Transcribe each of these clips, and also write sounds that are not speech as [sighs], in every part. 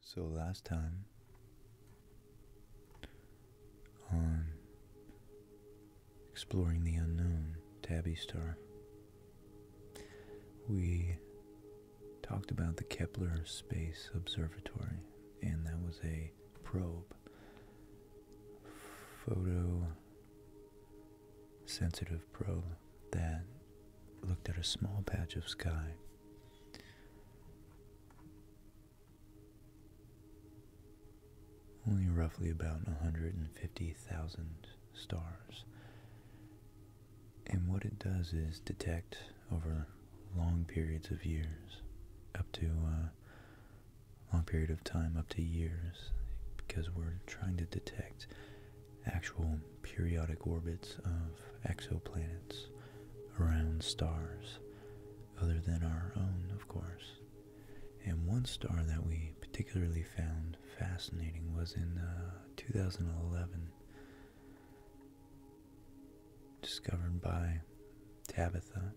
So last time on Exploring the Unknown, Tabby Star, we talked about the Kepler Space Observatory, and that was a probe, photo-sensitive probe that looked at a small patch of sky only roughly about 150,000 stars. And what it does is detect over long periods of years, up to a uh, long period of time, up to years, because we're trying to detect actual periodic orbits of exoplanets around stars, other than our own, of course. And one star that we particularly found fascinating was in uh, 2011, discovered by Tabitha.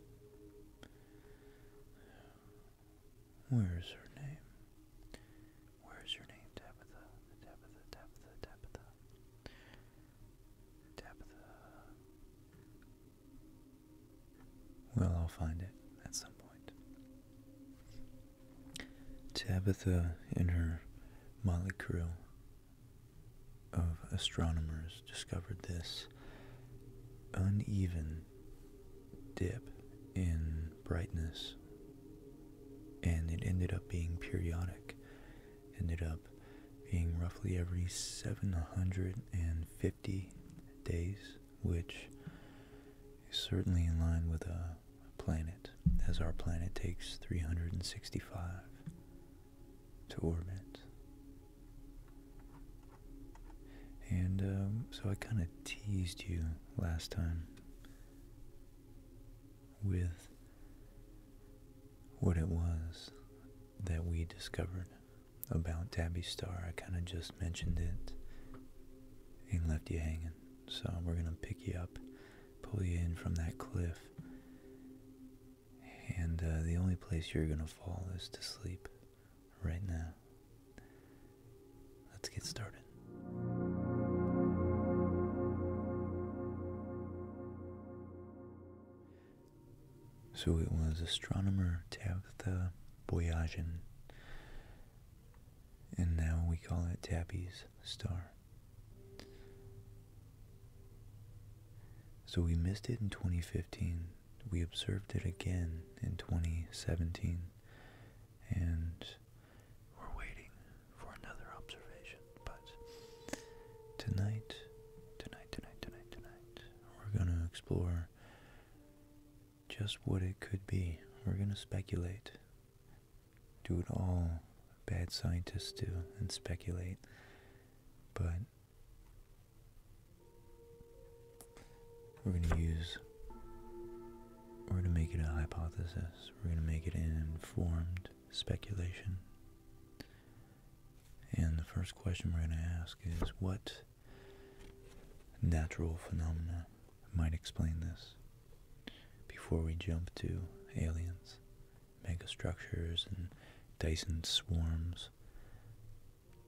Where's her name? Where's your name, Tabitha? Tabitha, Tabitha, Tabitha. Tabitha. Uh, well, I'll find it at some point. Tabitha, in her Molly crew of astronomers, discovered this uneven dip in brightness, and it ended up being periodic ended up being roughly every 750 days, which is certainly in line with a planet, as our planet takes 365 to orbit. And um, so I kind of teased you last time with what it was that we discovered about Tabby Star. I kind of just mentioned it and left you hanging. So we're going to pick you up, pull you in from that cliff. And uh, the only place you're going to fall is to sleep right now. Let's get started. So it was astronomer Tabitha Boyajian, and now we call it Tappi's star. So we missed it in 2015. We observed it again in 2017, and we're waiting for another observation, but tonight, tonight, tonight, tonight, tonight, we're going to explore just what it could be. We're going to speculate. Do it all bad scientists do and speculate. But we're going to use we're going to make it a hypothesis. We're going to make it informed speculation. And the first question we're going to ask is what natural phenomena might explain this before we jump to aliens, megastructures, and Dyson swarms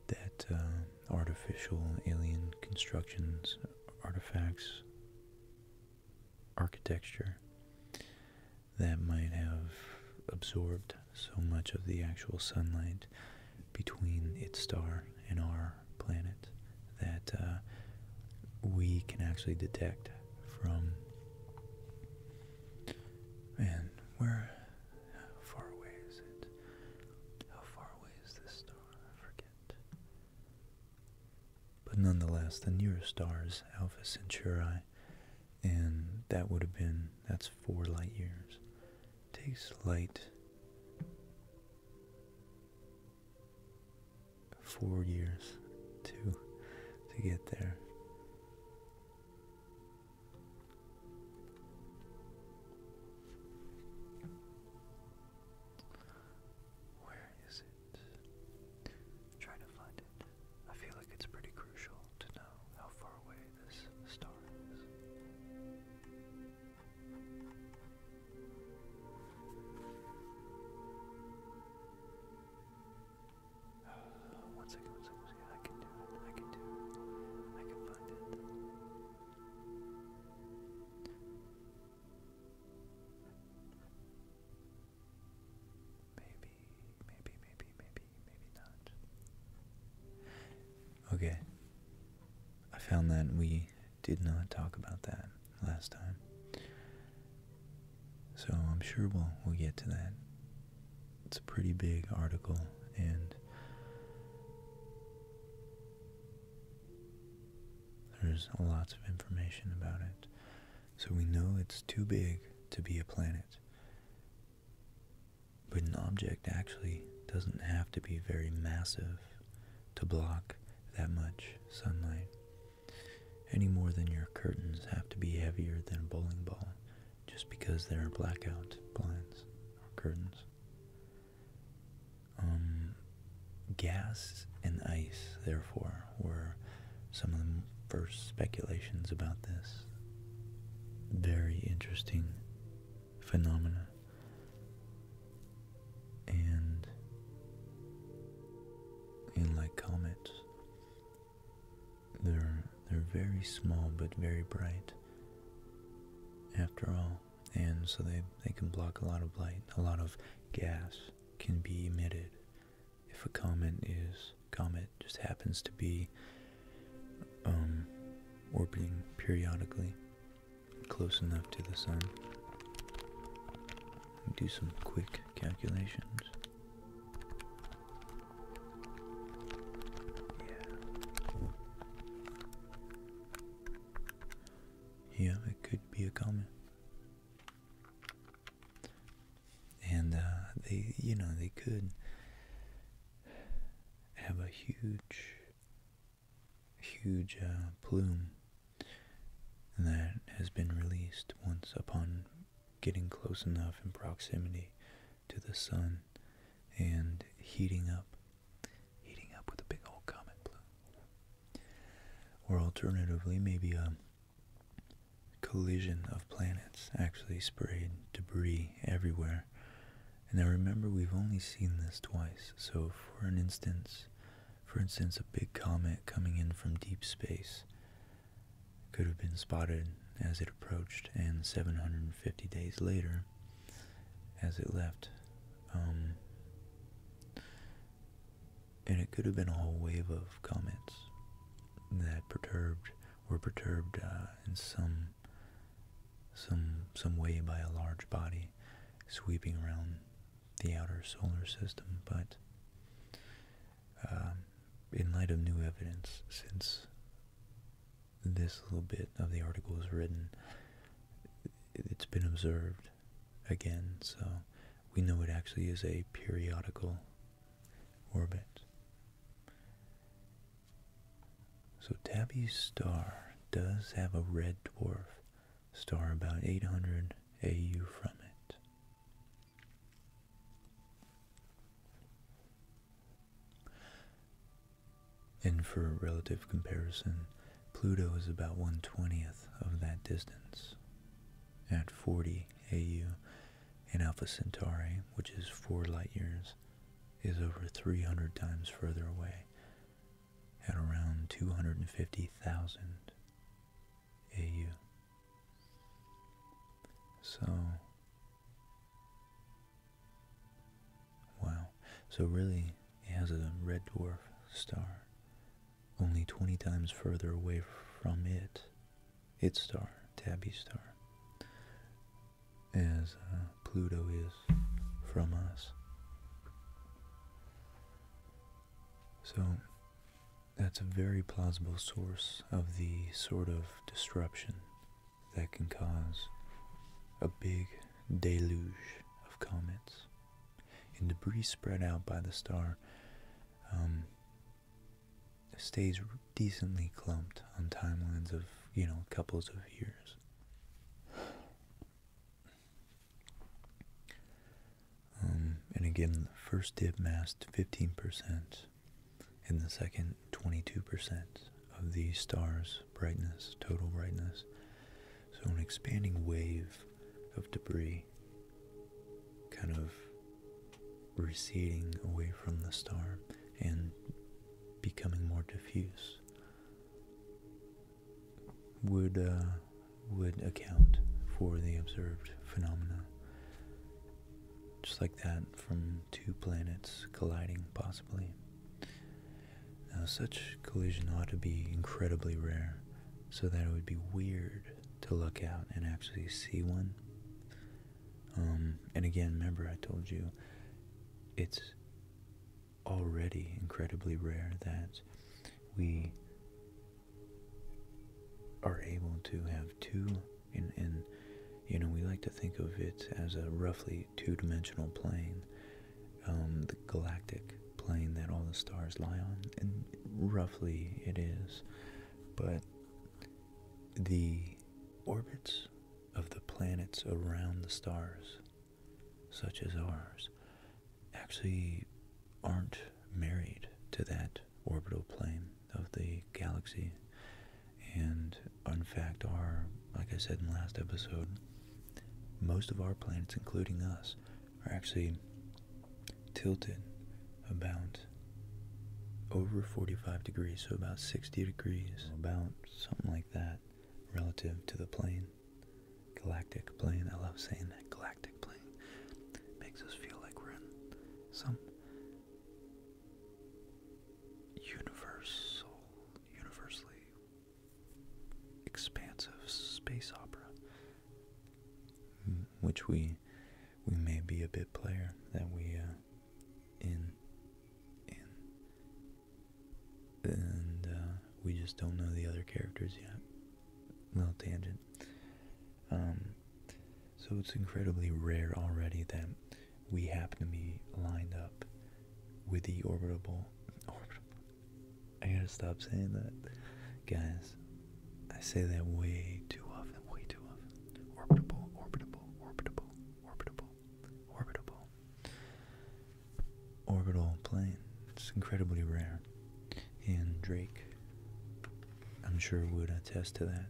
that uh, artificial alien constructions, artifacts, architecture that might have absorbed so much of the actual sunlight between its star and our planet that uh, we can actually detect from. Man, where. How far away is it? How far away is this star? I forget. But nonetheless, the nearest stars, Alpha Centauri, and that would have been, that's four light years. takes light four years to, to get there. Where is it? it. to find it. I feel like it's pretty crucial to know how far away this star is. [sighs] one second, one second, one second. I can do it. I can do it. I can find it. Maybe, maybe, maybe, maybe, maybe not. Okay. I found that we did not talk about that last time. So I'm sure we'll, we'll get to that. It's a pretty big article and there's lots of information about it. So we know it's too big to be a planet. But an object actually doesn't have to be very massive to block that much sunlight, any more than your curtains have to be heavier than a bowling ball just because there are blackout blinds or curtains. Um, Gas and ice, therefore, were some of the first speculations about this very interesting phenomena. And, and like comets, they're, they're very small but very bright after all. And so they, they can block a lot of light, a lot of gas can be emitted if a comet is comet just happens to be um, orbiting periodically close enough to the sun. Do some quick calculations. Yeah. Yeah, it could be a comet and uh, they you know they could have a huge huge uh, plume that has been released once upon getting close enough in proximity to the sun and heating up heating up with a big old comet plume or alternatively maybe a um, collision of planets actually sprayed debris everywhere. And now remember, we've only seen this twice. So, for an instance, for instance, a big comet coming in from deep space could have been spotted as it approached, and 750 days later, as it left, um, and it could have been a whole wave of comets that perturbed were perturbed uh, in some some some way by a large body sweeping around the outer solar system but um, in light of new evidence since this little bit of the article is written it's been observed again, so we know it actually is a periodical orbit. So Tabby's star does have a red dwarf star about 800 AU from it. And for relative comparison, Pluto is about 1 20th of that distance at 40 AU and Alpha Centauri, which is 4 light years, is over 300 times further away at around 250,000 AU. So, wow. So really, it has a red dwarf star only 20 times further away from it, its star, Tabby's star, as uh, Pluto is from us. So that's a very plausible source of the sort of disruption that can cause a big deluge of comets. And debris spread out by the star um, stays decently clumped on timelines of, you know, couples of years. Um, and again, the first dip masked 15%, and the second 22% of the star's brightness, total brightness. So an expanding wave of debris kind of receding away from the star and becoming more diffuse would uh, would account for the observed phenomena just like that from two planets colliding possibly now such collision ought to be incredibly rare so that it would be weird to look out and actually see one. Um, and again, remember I told you it's already incredibly rare that we are able to have two And you know we like to think of it as a roughly two-dimensional plane um, the galactic plane that all the stars lie on, and roughly it is, but the orbits of the planets around the stars, such as ours, actually aren't married to that orbital plane of the galaxy and in fact are, like I said in the last episode, most of our planets, including us, are actually tilted about over 45 degrees, so about 60 degrees, about something like that relative to the plane. Galactic plane, I love saying that, galactic plane. Makes us feel like we're in some universal, universally expansive space opera which we we may be a bit player that we uh, in in and uh, we just don't know the other characters yet. Little tangent. Um, so it's incredibly rare already that we happen to be lined up with the orbitable, [laughs] orbitable I gotta stop saying that. Guys, I say that way too often, way too often. Orbitable, orbitable, orbitable, orbitable, orbitable. Orbital plane. It's incredibly rare. And Drake, I'm sure, would attest to that.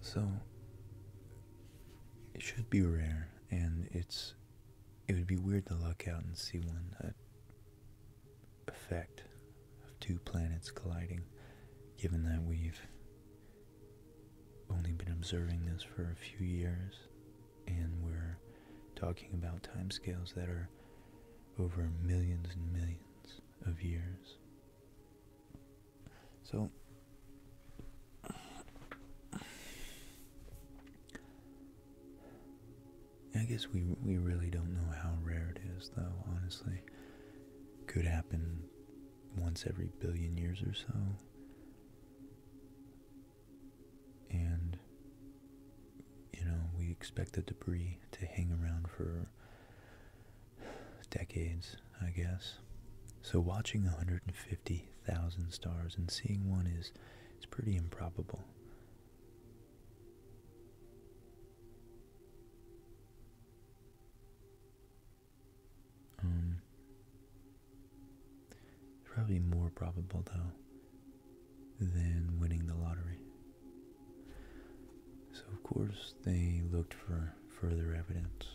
So, it should be rare, and it's it would be weird to look out and see one uh, effect of two planets colliding, given that we've only been observing this for a few years and we're talking about timescales that are over millions and millions of years. So, I guess we we really don't know how rare it is, though. Honestly, could happen once every billion years or so, and you know we expect the debris to hang around for decades, I guess. So watching 150,000 stars and seeing one is is pretty improbable. Um, probably more probable though than winning the lottery. So of course they looked for further evidence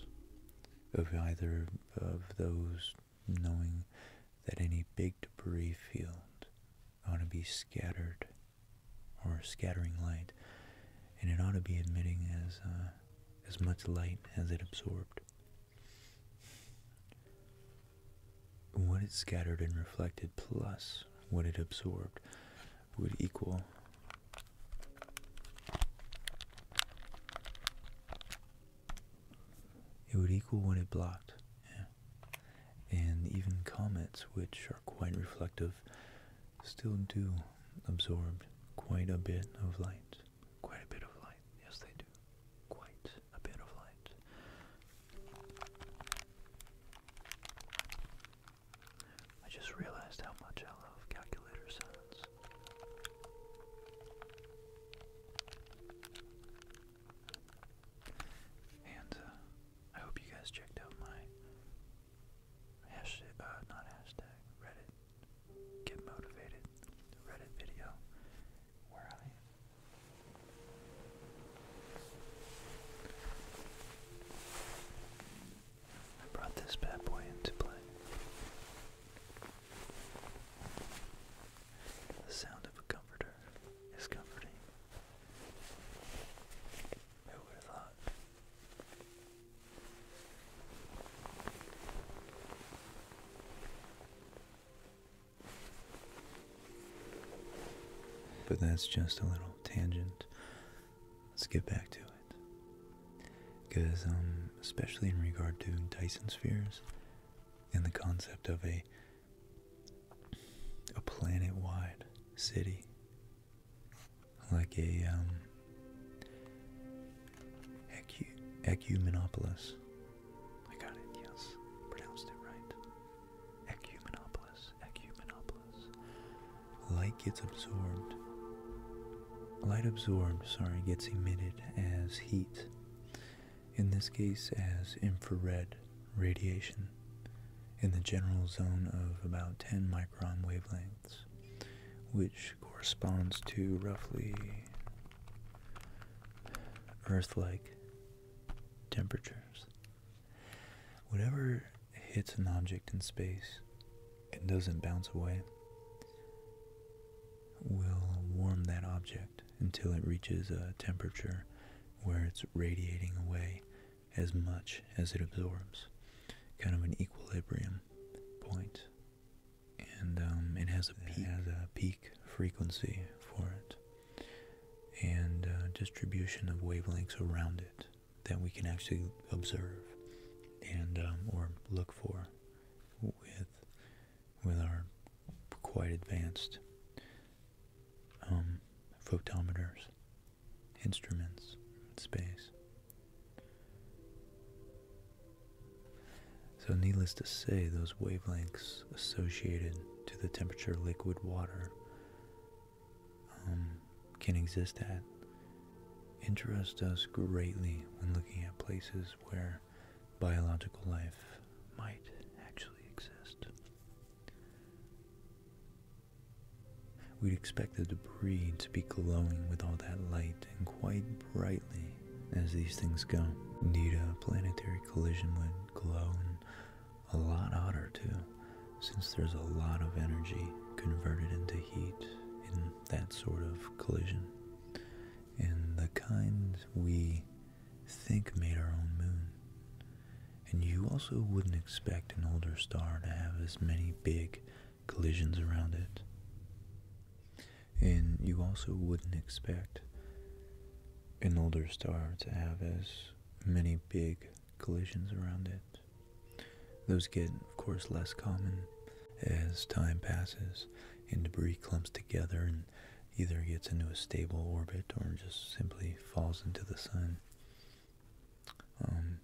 of either of those knowing that any big debris field ought to be scattered or scattering light, and it ought to be emitting as uh, as much light as it absorbed. What it scattered and reflected plus what it absorbed would equal it would equal when it blocked. And even comets, which are quite reflective, still do absorb quite a bit of light. Quite a bit of light. Yes, they do. Quite a bit of light. I just realized how much I love calculator sounds. And uh, I hope you guys checked out my hashtag, uh, not hashtag, Reddit, get motivated, Reddit video where I I brought this bad boy into play. The sound of a comforter is comforting. Who would have thought? But that's just a little tangent. Let's get back to it. Because, um, especially in regard to Dyson spheres and the concept of a a planet wide city. Like a um Ecumenopolis. I got it, yes. Pronounced it right. Ecumenopolis. Ecumenopolis. Light gets absorbed. Light absorbed, sorry, gets emitted as heat in this case as infrared radiation, in the general zone of about 10 micron wavelengths, which corresponds to roughly Earth like temperatures. Whatever hits an object in space and doesn't bounce away will warm that object until it reaches a temperature where it's radiating away as much as it absorbs, kind of an equilibrium And um, it, has a peak. frequency for it and uh, distribution of wavelengths around it that we can actually observe and um, or look for with with our quite advanced um, photometers, instruments in space. So needless to say, those wavelengths associated to the temperature liquid water um, can exist at interest us greatly when looking at places where biological life might actually exist. We'd expect the debris to be glowing with all that light and quite brightly as these things go. Need a planetary collision would glow a lot hotter too, since there's a lot of energy converted into heat in that sort of collision. And the kind we think made our own moon. And you also wouldn't expect an older star to have as many big collisions around it. And you also wouldn't expect an older star to have as many big collisions around it. Those get, of course, less common as time passes and debris clumps together and either gets into a stable orbit or just simply falls into the sun. Um,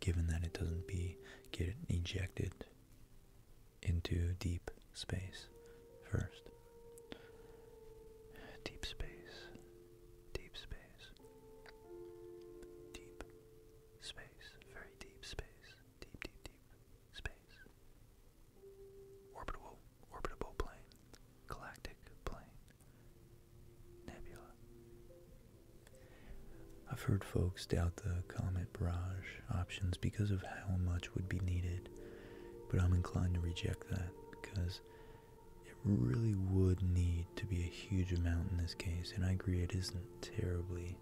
given that it doesn't be get ejected into deep space first. Deep space, deep space, deep space, very deep space, deep, deep, deep space. Orbital orbitable plane, galactic plane, nebula. I've heard folks doubt the comet barrage options because of how much would be needed, but I'm inclined to reject that because it really would need to be a huge amount in this case, and I agree it isn't terribly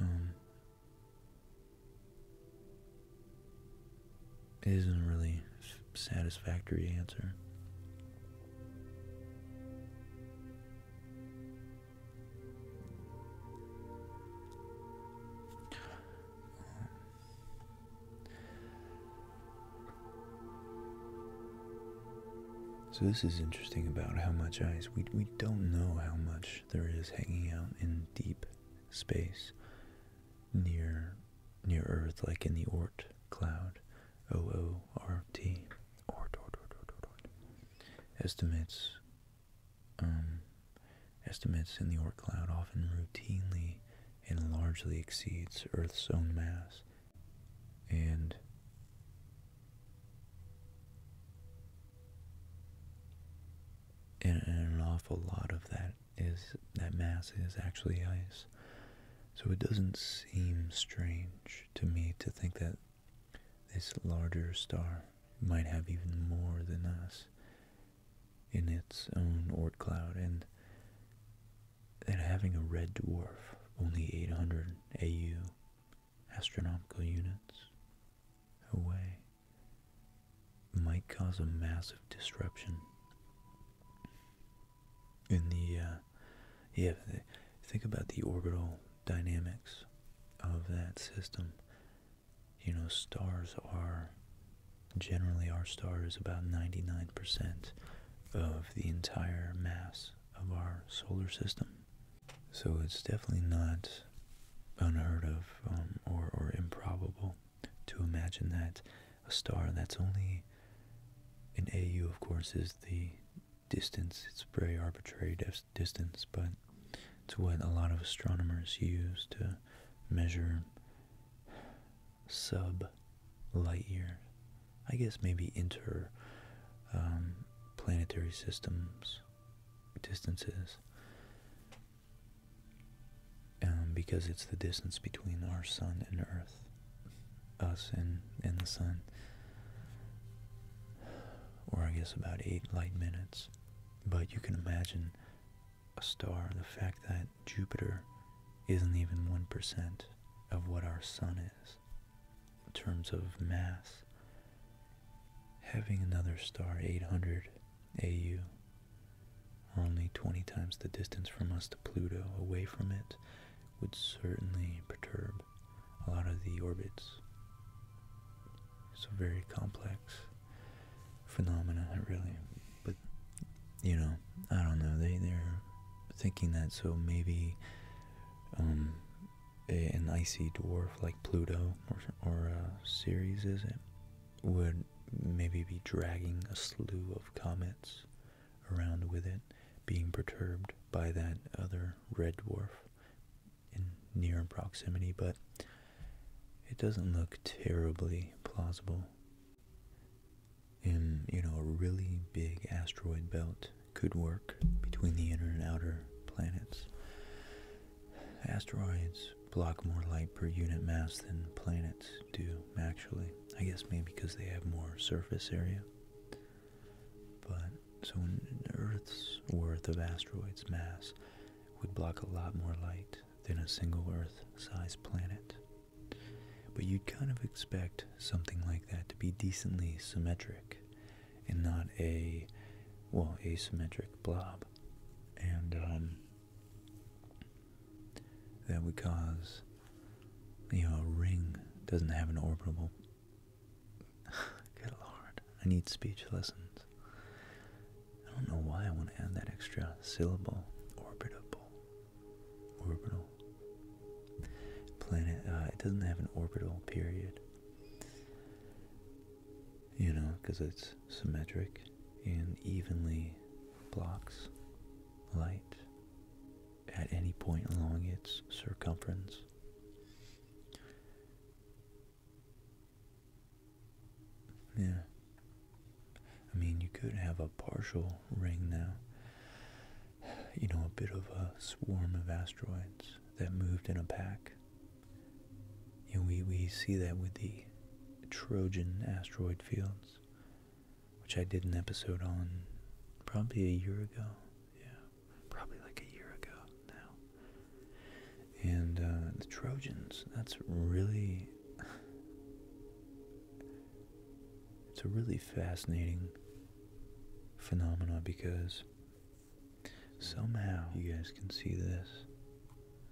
um, is isn't really satisfactory answer. So this is interesting about how much ice. We, we don't know how much there is hanging out in deep space near near Earth, like in the Oort cloud, O-O-R-T, Estimates, um, estimates in the Oort cloud often routinely and largely exceeds Earth's own mass, and and, an awful lot of that is that mass is actually ice. So it doesn't seem strange to me to think that this larger star might have even more than us in its own Oort cloud, and that having a red dwarf only 800 AU astronomical units away might cause a massive disruption in the uh, yeah think about the orbital dynamics of that system you know stars are generally our star is about 99% of the entire mass of our solar system so it's definitely not unheard of um, or, or improbable to imagine that a star that's only an AU, of course, is the distance. It's very arbitrary distance, but it's what a lot of astronomers use to measure sub light years. I guess maybe inter um, planetary systems distances. Um, because it's the distance between our sun and earth, us and, and the sun, or I guess about eight light minutes. But you can imagine a star, the fact that Jupiter isn't even 1% of what our sun is in terms of mass. Having another star 800 AU, only 20 times the distance from us to Pluto, away from it, would certainly perturb a lot of the orbits. It's a very complex phenomena, really. But, you know, I don't know. They, are thinking that, so maybe um, an icy dwarf like Pluto or, or uh, Ceres, is it? would maybe be dragging a slew of comets around with it, being perturbed by that other red dwarf in near proximity, but it doesn't look terribly plausible. And, you know, a really big asteroid belt could work between the inner and outer planets. Asteroids block more light per unit mass than planets do, actually. I guess maybe because they have more surface area. But so Earth's worth of asteroids' mass would block a lot more light than a single Earth sized planet. But you'd kind of expect something like that to be decently symmetric and not a, well, asymmetric blob. And, um, that would cause, you know, a ring doesn't have an orbital. [sighs] Good lord, I need speech lessons. I don't know why I want to add that extra syllable. Orbitable. Orbital. Planet, uh, it doesn't have an orbital period you know, because it's symmetric and evenly blocks light at any point along its circumference. Yeah. I mean, you could have a partial ring now. You know, a bit of a swarm of asteroids that moved in a pack and we, we see that with the Trojan asteroid fields, which I did an episode on probably a year ago. Yeah, probably like a year ago now. And uh, the Trojans, that's really. it's a really fascinating phenomena because somehow you guys can see this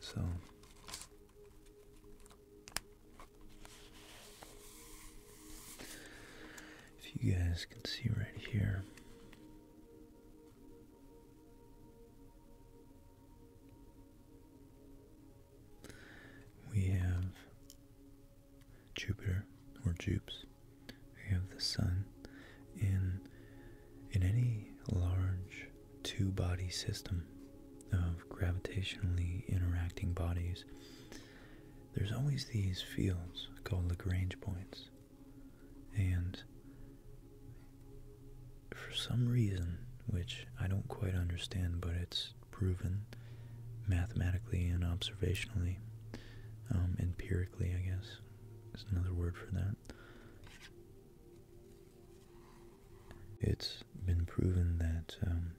So if you guys can see right here, we have Jupiter or Jupes you have the sun in in any large two-body system of gravitationally interacting bodies there's always these fields called Lagrange points and for some reason which I don't quite understand but it's proven mathematically and observationally um, empirically I guess is another word for that it's been proven that um,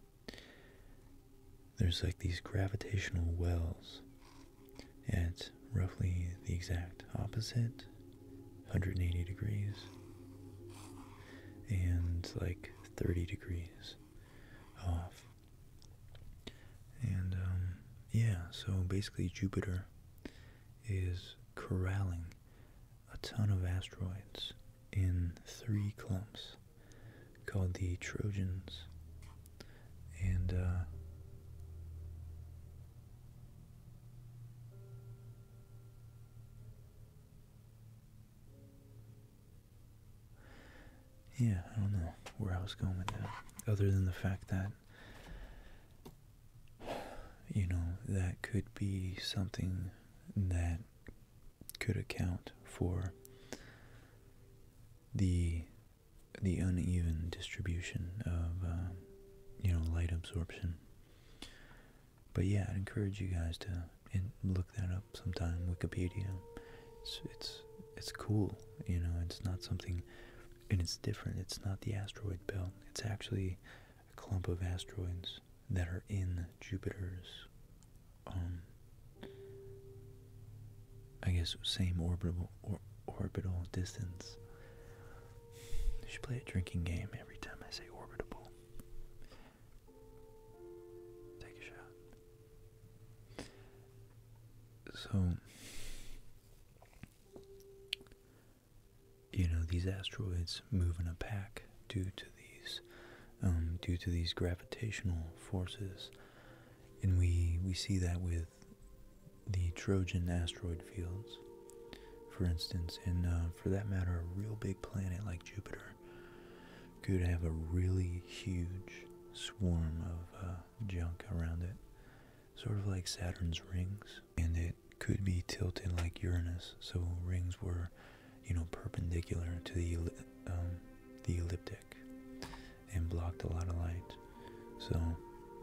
there's like these gravitational wells at roughly the exact opposite 180 degrees and like 30 degrees off. And um, yeah, so basically, Jupiter is corralling a ton of asteroids in three clumps called the Trojans. And uh, yeah, I don't know where I was going with that, other than the fact that [sighs] You know, that could be something that could account for the the uneven distribution of uh, you know light absorption. But yeah, I'd encourage you guys to look that up sometime. Wikipedia, it's it's it's cool. You know, it's not something and it's different. It's not the asteroid belt. It's actually a clump of asteroids that are in Jupiter's, um, I guess same orbital or orbital distance. You should play a drinking game every time I say orbitable. Take a shot. So you know these asteroids move in a pack due to these um, due to these gravitational forces, and we we see that with the Trojan asteroid fields, for instance, and uh, for that matter, a real big planet like Jupiter could have a really huge swarm of uh, junk around it sort of like Saturn's rings, and it could be tilted like Uranus. So rings were, you know, perpendicular to the um, the elliptic and blocked a lot of light. So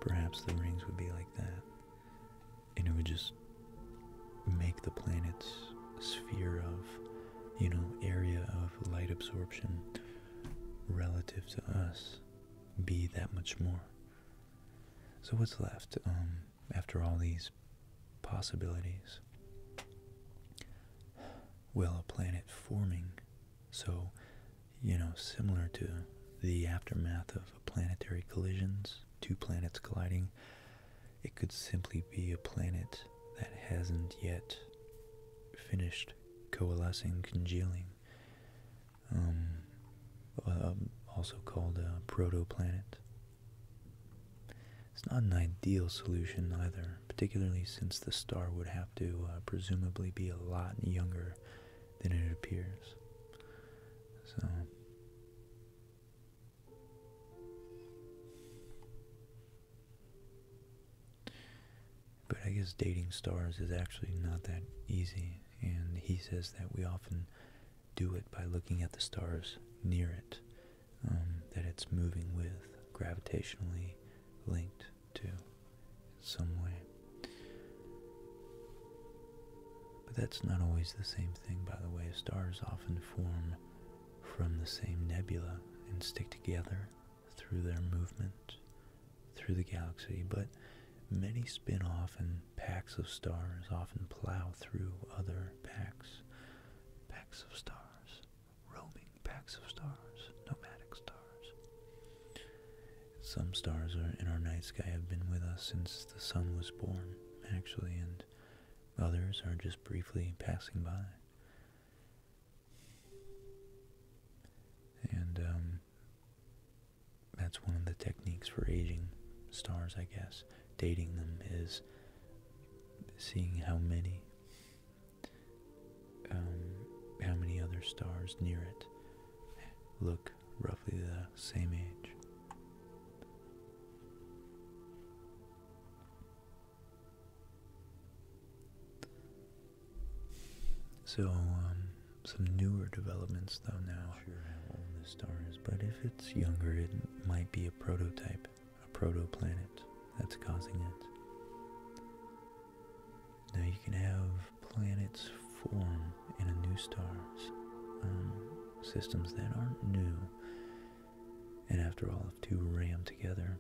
perhaps the rings would be like that, and it would just make the planet's sphere of, you know, area of light absorption relative to us be that much more. So what's left um, after all these possibilities? Well, a planet forming, so, you know, similar to the aftermath of planetary collisions, two planets colliding, it could simply be a planet that hasn't yet finished coalescing, congealing, um, um, also called a uh, protoplanet. It's not an ideal solution either, particularly since the star would have to uh, presumably be a lot younger than it appears. So. But I guess dating stars is actually not that easy, and he says that we often do it by looking at the stars near it, um, that it's moving with, gravitationally linked to, some way. But that's not always the same thing, by the way. Stars often form from the same nebula and stick together through their movement through the galaxy, but many spin off and packs of stars often plow through other packs. Packs of stars, roaming packs of stars, nomadic stars. Some stars in our night sky have been with us since the sun was born, actually, and others are just briefly passing by. And um, that's one of the techniques for aging stars, I guess. Dating them is seeing how many, um, how many other stars near it look roughly the same age. So, um, some newer developments though now. sure how old this star is, but if it's younger, it might be a prototype, a protoplanet that's causing it. Now you can have planets form in a new star, um, systems that aren't new, and after all, if two ram together,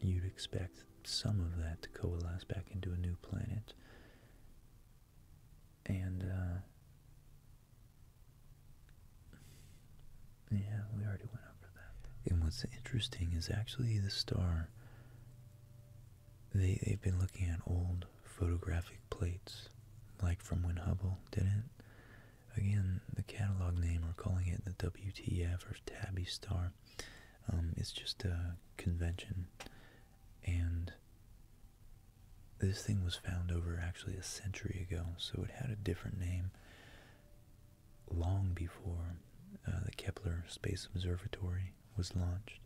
you'd expect some of that to coalesce back into a new planet. And, uh, yeah, we already went over that. And what's interesting is actually the star, they, they've been looking at old photographic plates, like from when Hubble did it. Again, the catalog name, we're calling it the WTF or Tabby Star. Um, it's just a convention, and this thing was found over actually a century ago, so it had a different name long before uh, the Kepler Space Observatory was launched.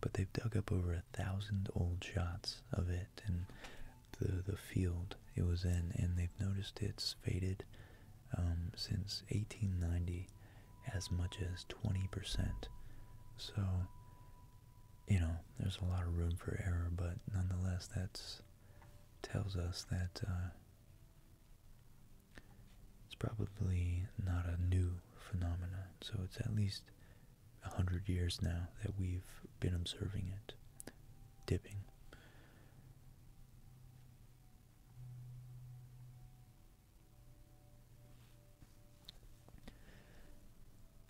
But they've dug up over a thousand old shots of it and the the field it was in, and they've noticed it's faded um, since 1890 as much as 20%. So, you know, there's a lot of room for error, but nonetheless, that tells us that uh, it's probably not a new phenomenon. So it's at least 100 years now that we've been observing it, dipping.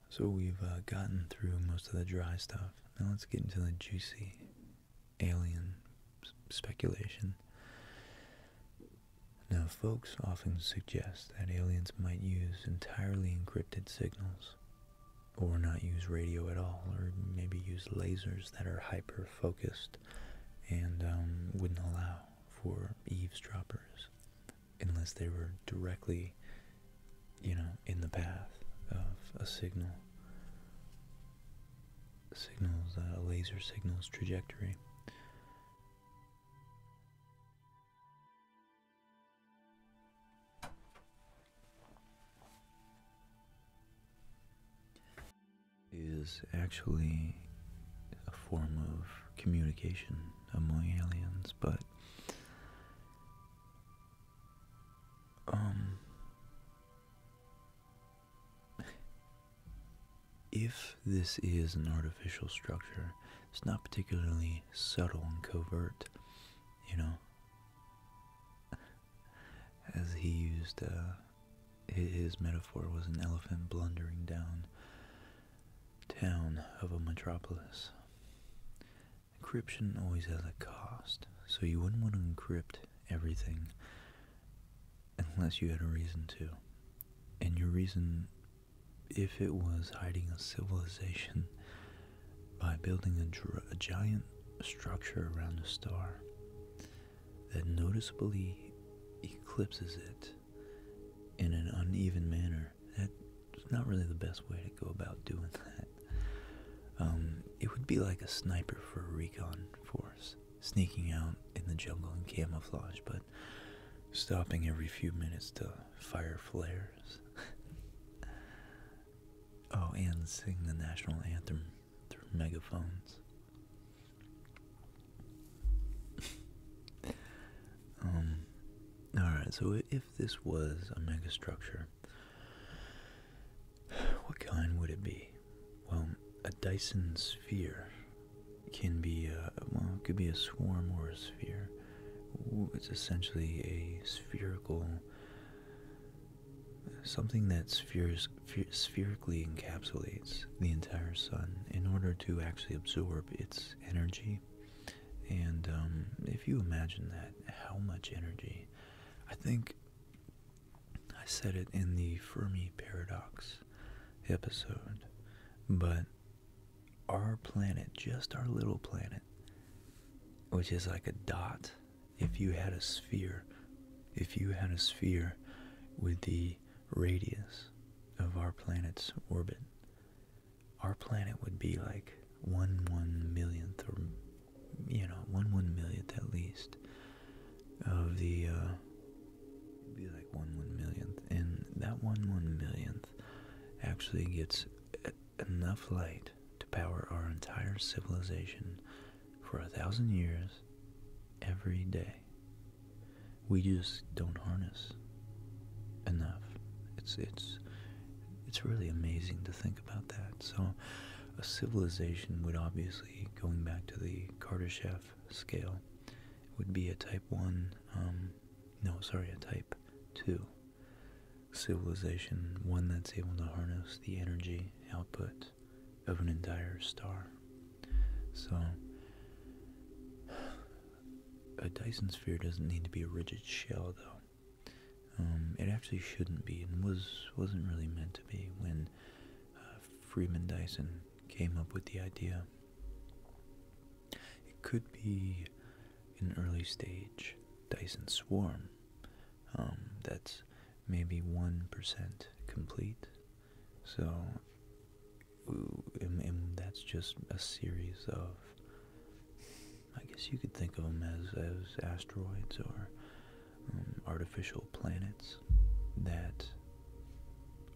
So we've uh, gotten through most of the dry stuff. Now let's get into the juicy alien speculation. Now, folks often suggest that aliens might use entirely encrypted signals, or not use radio at all, or maybe use lasers that are hyper focused and um, wouldn't allow for eavesdroppers unless they were directly, you know, in the path of a signal. Signals, uh, laser signals trajectory is actually a form of communication among aliens, but um if this is an artificial structure, it's not particularly subtle and covert, you know. As he used uh, his metaphor was an elephant blundering down town of a metropolis. Encryption always has a cost, so you wouldn't want to encrypt everything unless you had a reason to. And your reason, if it was hiding a civilization by building a, giant structure around the star, that noticeably eclipses it in an uneven manner. That's not really the best way to go about doing that. Um, it would be like a sniper for a recon force, sneaking out in the jungle in camouflage, but stopping every few minutes to fire flares. [laughs] oh, and sing the national anthem through megaphones. [laughs] um, Alright, so if this was a megastructure, [sighs] what kind would it be? Well, a Dyson sphere can be, well, it could be a swarm or a sphere. It's essentially a spherical, something that spheres spherically encapsulates the entire sun in order to actually absorb its energy. And um, if you imagine that, how much energy? I think I said it in the Fermi paradox episode, but our planet, just our little planet, which is like a dot, if you had a sphere, if you had a sphere with the radius of our planet's orbit, our planet would be like one one millionth or you know one one millionth at least of the uh be like one one millionth and that one one millionth actually gets enough light to power our entire civilization for a thousand years every day. We just don't harness enough. It's it's it's really amazing to think about that. So a civilization would obviously, going back to the Kardashev scale, would be a type 1, um, no, sorry, a type 2 civilization, one that's able to harness the energy output of an entire star. So, [sighs] a Dyson sphere doesn't need to be a rigid shell, though. Um, it actually shouldn't be, and was wasn't really meant to be when uh, Freeman Dyson came up with the idea. It could be an early stage Dyson swarm um, that's maybe one percent complete so, that's just a series of, I guess you could think of them as, as asteroids or um, artificial planets that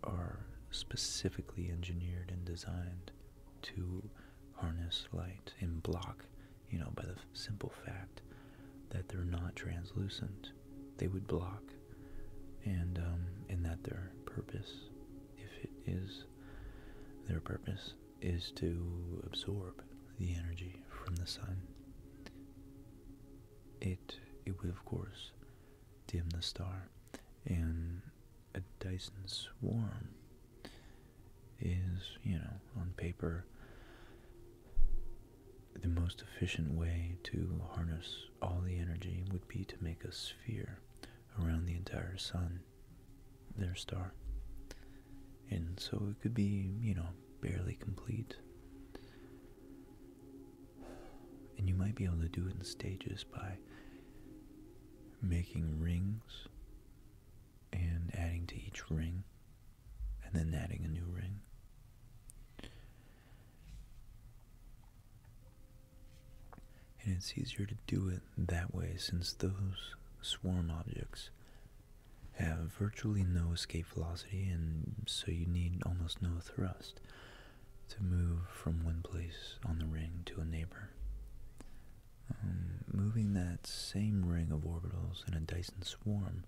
are specifically engineered and designed to harness light and block, you know, by the simple fact that they're not translucent, they would block, and um, that their purpose, if it is their purpose, is to absorb the energy from the sun. It it would of course dim the star, and a Dyson swarm is you know on paper the most efficient way to harness all the energy would be to make a sphere around the entire sun, their star. And so it could be, you know, barely complete. And you might be able to do it in stages by making rings and adding to each ring and then adding a new ring. And it's easier to do it that way since those swarm objects have virtually no escape velocity, and so you need almost no thrust to move from one place on the ring to a neighbor. Um, moving that same ring of orbitals in a Dyson swarm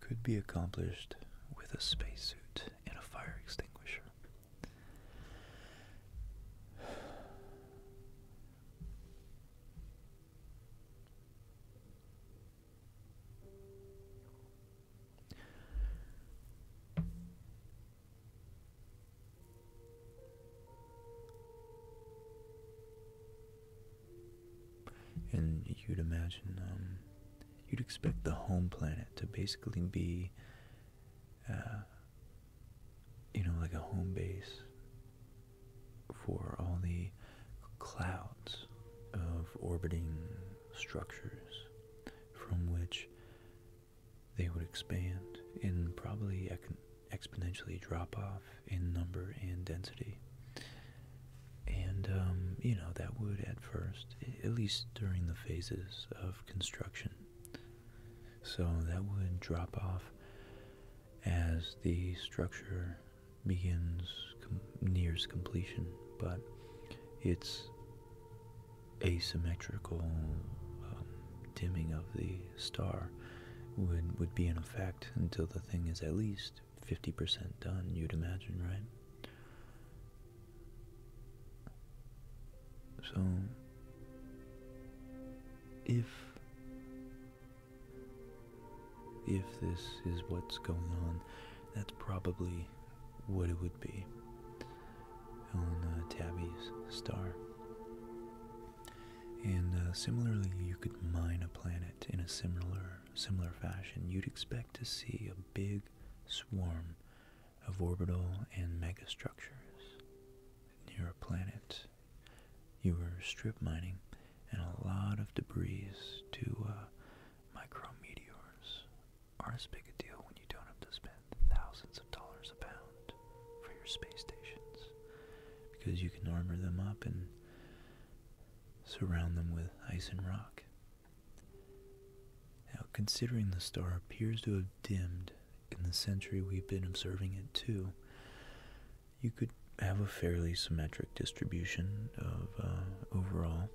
could be accomplished with a spacesuit and a fire extinguisher. And you'd imagine um, you'd expect the home planet to basically be, uh, you know, like a home base for all the clouds of orbiting structures from which they would expand and probably exponentially drop off in number and density. And, um, you know, that would at first, at least during the phases of construction. So that would drop off as the structure begins, nears completion, but it's asymmetrical um, dimming of the star would, would be in effect until the thing is at least 50% done, you'd imagine, right? So, if if this is what's going on, that's probably what it would be on uh, Tabby's star. And uh, similarly, you could mine a planet in a similar similar fashion, you'd expect to see a big swarm of orbital and megastructures near a planet. You were strip mining and a lot of debris to uh, micro meteors are not as big a deal when you don't have to spend thousands of dollars a pound for your space stations because you can armor them up and surround them with ice and rock now, considering the star appears to have dimmed in the century we've been observing it too, you could have a fairly symmetric distribution of uh, overall.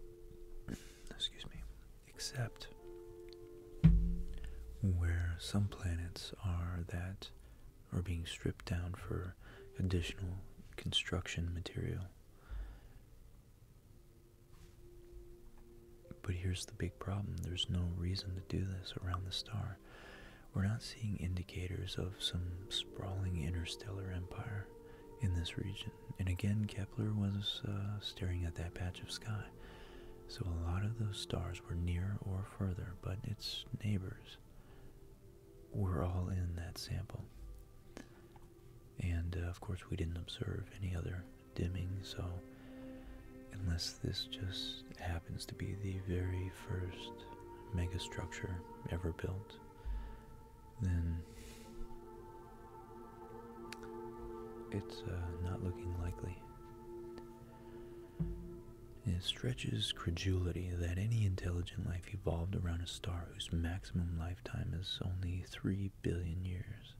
[clears throat] Excuse me, except where some planets are that are being stripped down for additional construction material but here's the big problem there's no reason to do this around the star. We're not seeing indicators of some sprawling interstellar empire in this region. And again, Kepler was uh, staring at that patch of sky. So a lot of those stars were near or further, but its neighbors. We're all in that sample. And uh, of course, we didn't observe any other dimming, so unless this just happens to be the very first megastructure ever built, then it's uh, not looking likely. It stretches credulity that any intelligent life evolved around a star whose maximum lifetime is only 3 billion years.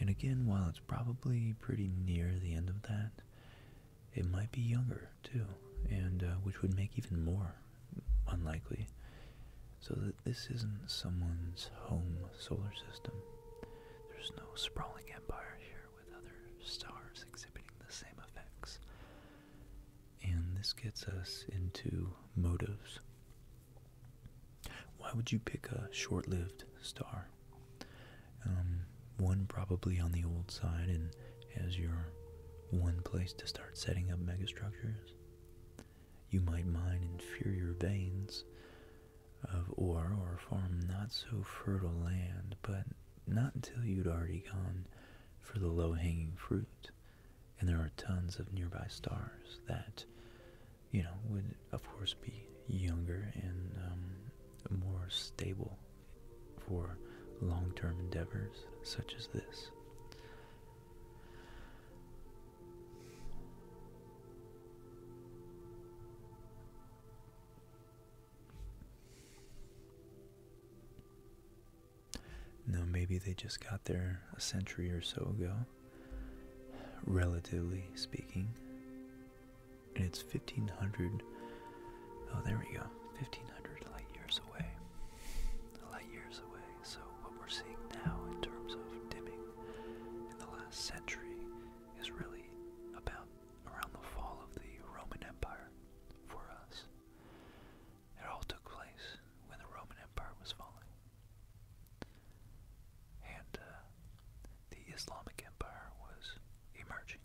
And again, while it's probably pretty near the end of that, it might be younger too, and uh, which would make even more unlikely. So that this isn't someone's home solar system. There's no sprawling empire here with other stars exhibiting the same effects. And this gets us into motives. Why would you pick a short lived star? Um, one probably on the old side and as your one place to start setting up megastructures. You might mine inferior veins of ore or farm not so fertile land, but not until you'd already gone for the low hanging fruit and there are tons of nearby stars that you know would of course be younger and um, more stable for long-term endeavors such as this no, maybe they just got there a century or so ago, relatively speaking. And it's 1500. Oh, there we go. 1500 light years away. Light years away. So, what we're seeing now in terms of dimming in the last century is really about around the fall of the Roman Empire for us. It all took place when the Roman Empire was falling. And uh, the Islamic Empire was emerging.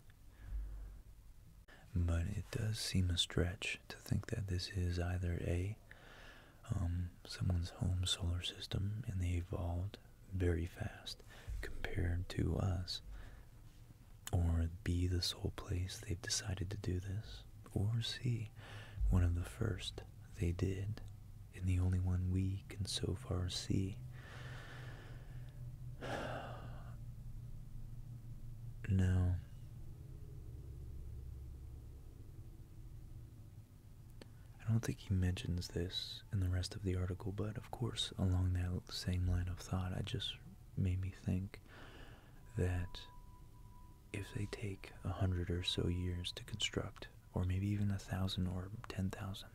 But it does seem a stretch to think that this is either A, um, someone's home solar system, and they evolved very fast compared to us, or B, the sole place they've decided to do this, or C, one of the first they did, and the only one we can so far see. [sighs] Now, I don't think he mentions this in the rest of the article, but of course, along that same line of thought, it just made me think that if they take a hundred or so years to construct, or maybe even a thousand or ten thousand,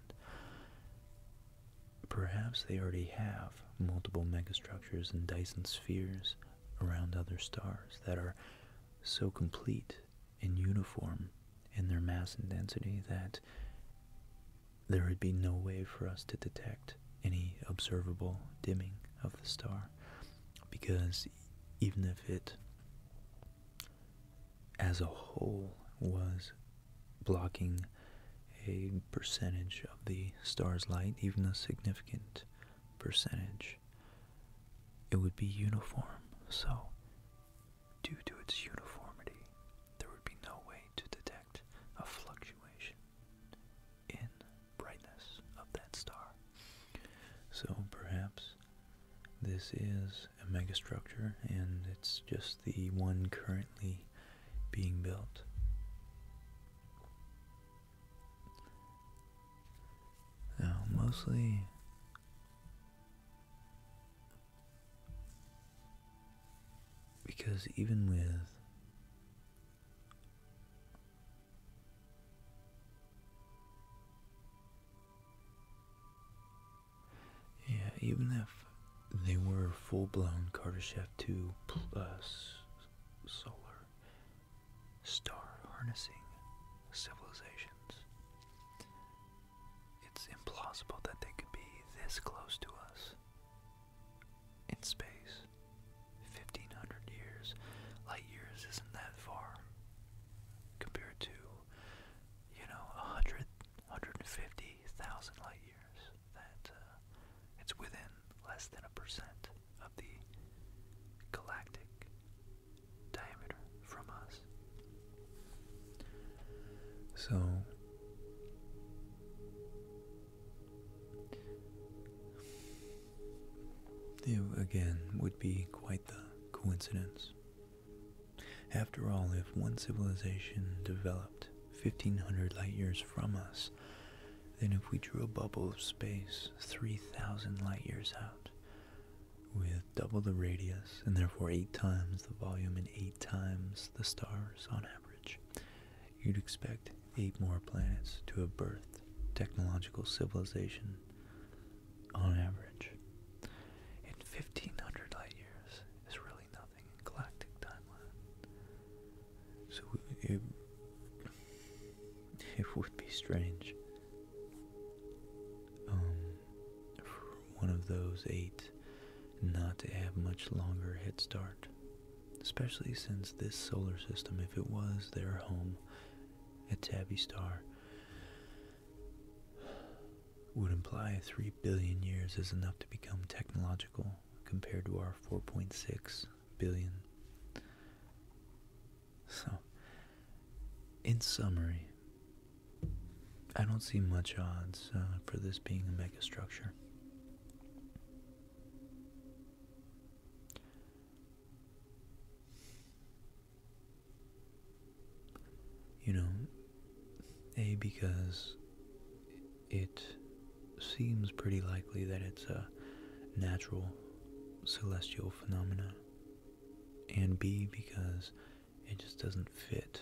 perhaps they already have multiple megastructures and Dyson spheres around other stars that are so complete and uniform in their mass and density that there would be no way for us to detect any observable dimming of the star because even if it as a whole was blocking a percentage of the star's light, even a significant percentage, it would be uniform. So, due to its uniformity, there would be no way to detect a fluctuation in brightness of that star. So perhaps this is a megastructure and it's just the one currently being built. Now, mostly because even with yeah, even if they were full-blown Kardashev 2 plus solar star harnessing civilizations, it's implausible that they could be this close to us in space. 1500 years, light years isn't that far compared to, you know, 100, 150,000 light years. That uh, it's within less than a percent of the galactic diameter from us. So, it again would be quite the coincidence. After all, if one civilization developed 1500 light years from us, then if we drew a bubble of space 3000 light years out, with double the radius and therefore eight times the volume and eight times the stars on average, you'd expect eight more planets to have birthed technological civilization on average. In 1500 light years is really nothing in galactic timeline. So it, [laughs] it would be strange um, for one of those eight not to have much longer head start especially since this solar system, if it was their home, a tabby star, would imply 3 billion years is enough to become technological compared to our 4.6 billion. So, in summary, I don't see much odds uh, for this being a megastructure. You know, A, because it seems pretty likely that it's a natural celestial phenomena, and B, because it just doesn't fit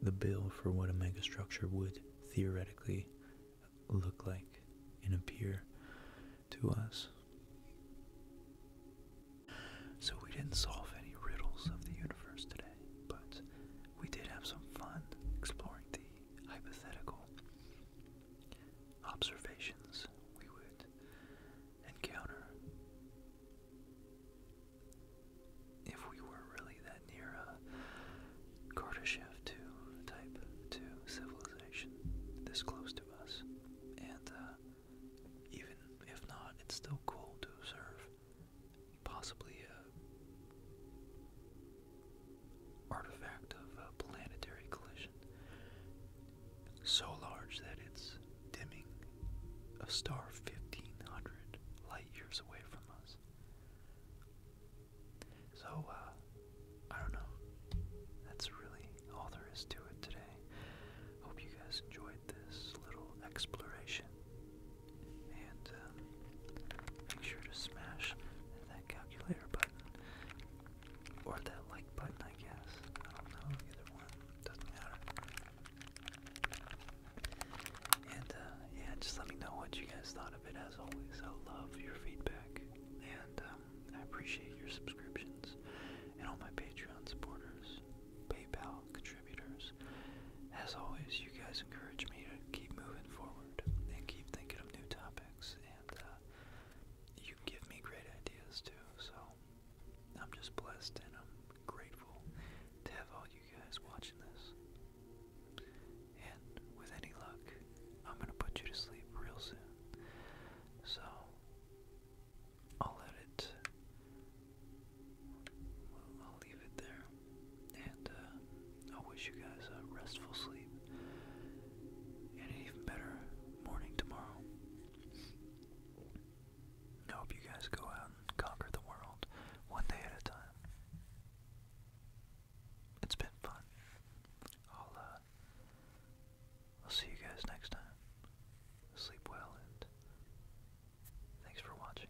the bill for what a megastructure would theoretically look like and appear to us. So, we didn't solve any riddles of the universe today, but we did have some fun exploring the hypothetical observations we would encounter if we were really near a Kardashev 2 type 2 civilization this close to us. And uh, even if not, it's still cool to observe possibly a artifact of a planetary collision so large that it's dimming a star 1500 light years away from us. So, uh, I don't know. That's really all there is to it today. Hope you guys enjoyed this little exploration. And uh, make sure to smash that calculator button. Or that like button, I guess. I don't know, either one. Doesn't matter. And uh, yeah, just let me know what you guys thought as always. I love your feedback, and um, I appreciate your subscriptions and all my Patreon supporters, PayPal contributors. As always, you guys encourage me to keep moving forward and keep thinking of new topics, and uh, you give me great ideas too. So I'm just blessed and I'm grateful to have all you guys watching this. And with any luck, I'm gonna put you to sleep real soon. So, I'll let it. I'll leave it there. And uh, I wish you guys a restful sleep and an even better morning tomorrow. I hope you guys go out and conquer the world one day at a time it's been fun. I'll uh, I'll see you guys next time. Sleep well and thanks for watching.